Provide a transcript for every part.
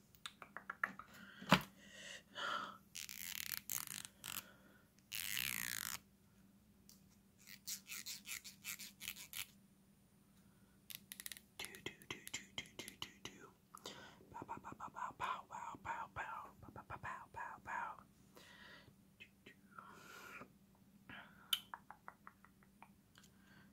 Do do do do do do do do. Pow pow pow pow pow pow pow pow pow pow pow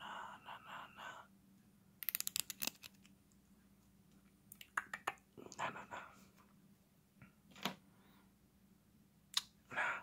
Nah, nah, nah, nah. Nah, nah, nah. Nah.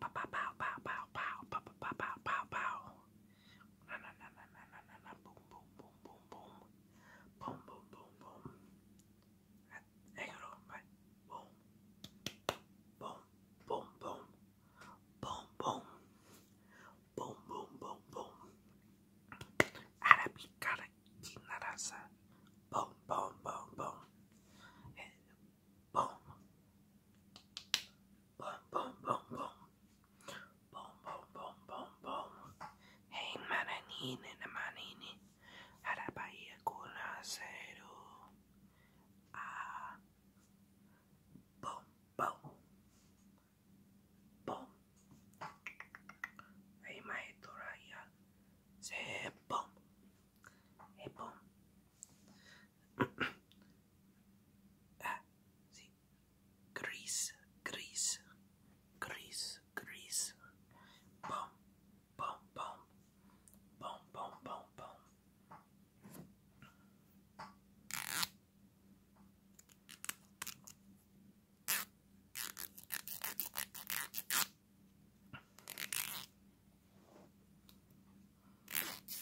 Pow, pow, pow, pow, pow, pow, pow, pow, pow, pow, pow. Na na na na na na na na boom boom boom boom boom boom boom boom boom. Negro, right? Boom. Boom boom boom. Boom boom. Boom boom boom boom. Arabicana kinarasa. Boom boom boom boom. And boom. Boom, boom, boom, boom. Boom, boom, boom, boom, boom. Hey, mananini, manini. Harabaya kuna zero. Ah. Boom, boom. Boom. Hey, my toraya. Say boom. Hey, boom. Ah, sim. Gris, gris, gris, gris. Bom, bom, bom. Bom, bom, bom, bom.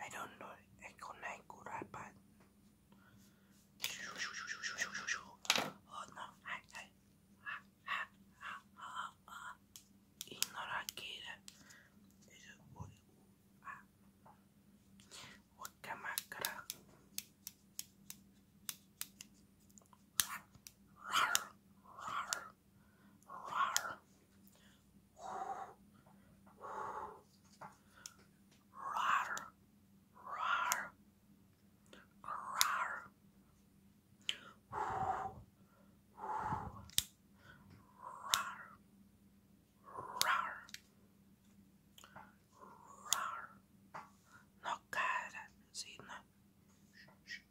I don't know. I connect good iPad. Oh no! I, I, ah, ah, ah, ah, ah. Ignorakira. Wakamakara. Rar, rar, rar. Rar. Rar. Rar. Rar. Rar. Rar. Rar. No cara, sí, no.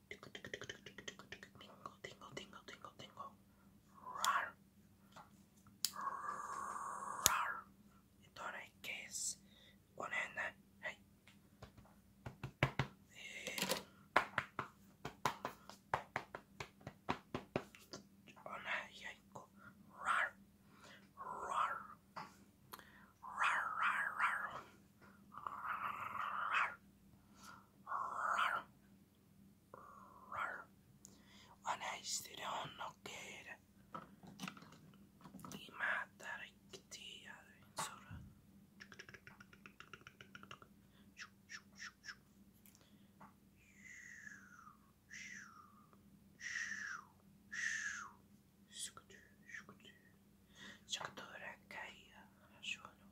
Tingle, tingle, tingle, tingle, tingle, tingle, tingle, tingle, Rar. Rar. Τώρα και con N. Hey. On a Yaiko. Rar. Rar. Rar. Rar. Rar. Rar. Rar. ونجزيهن بما تركتي من سرة شكتورة جاية على شغله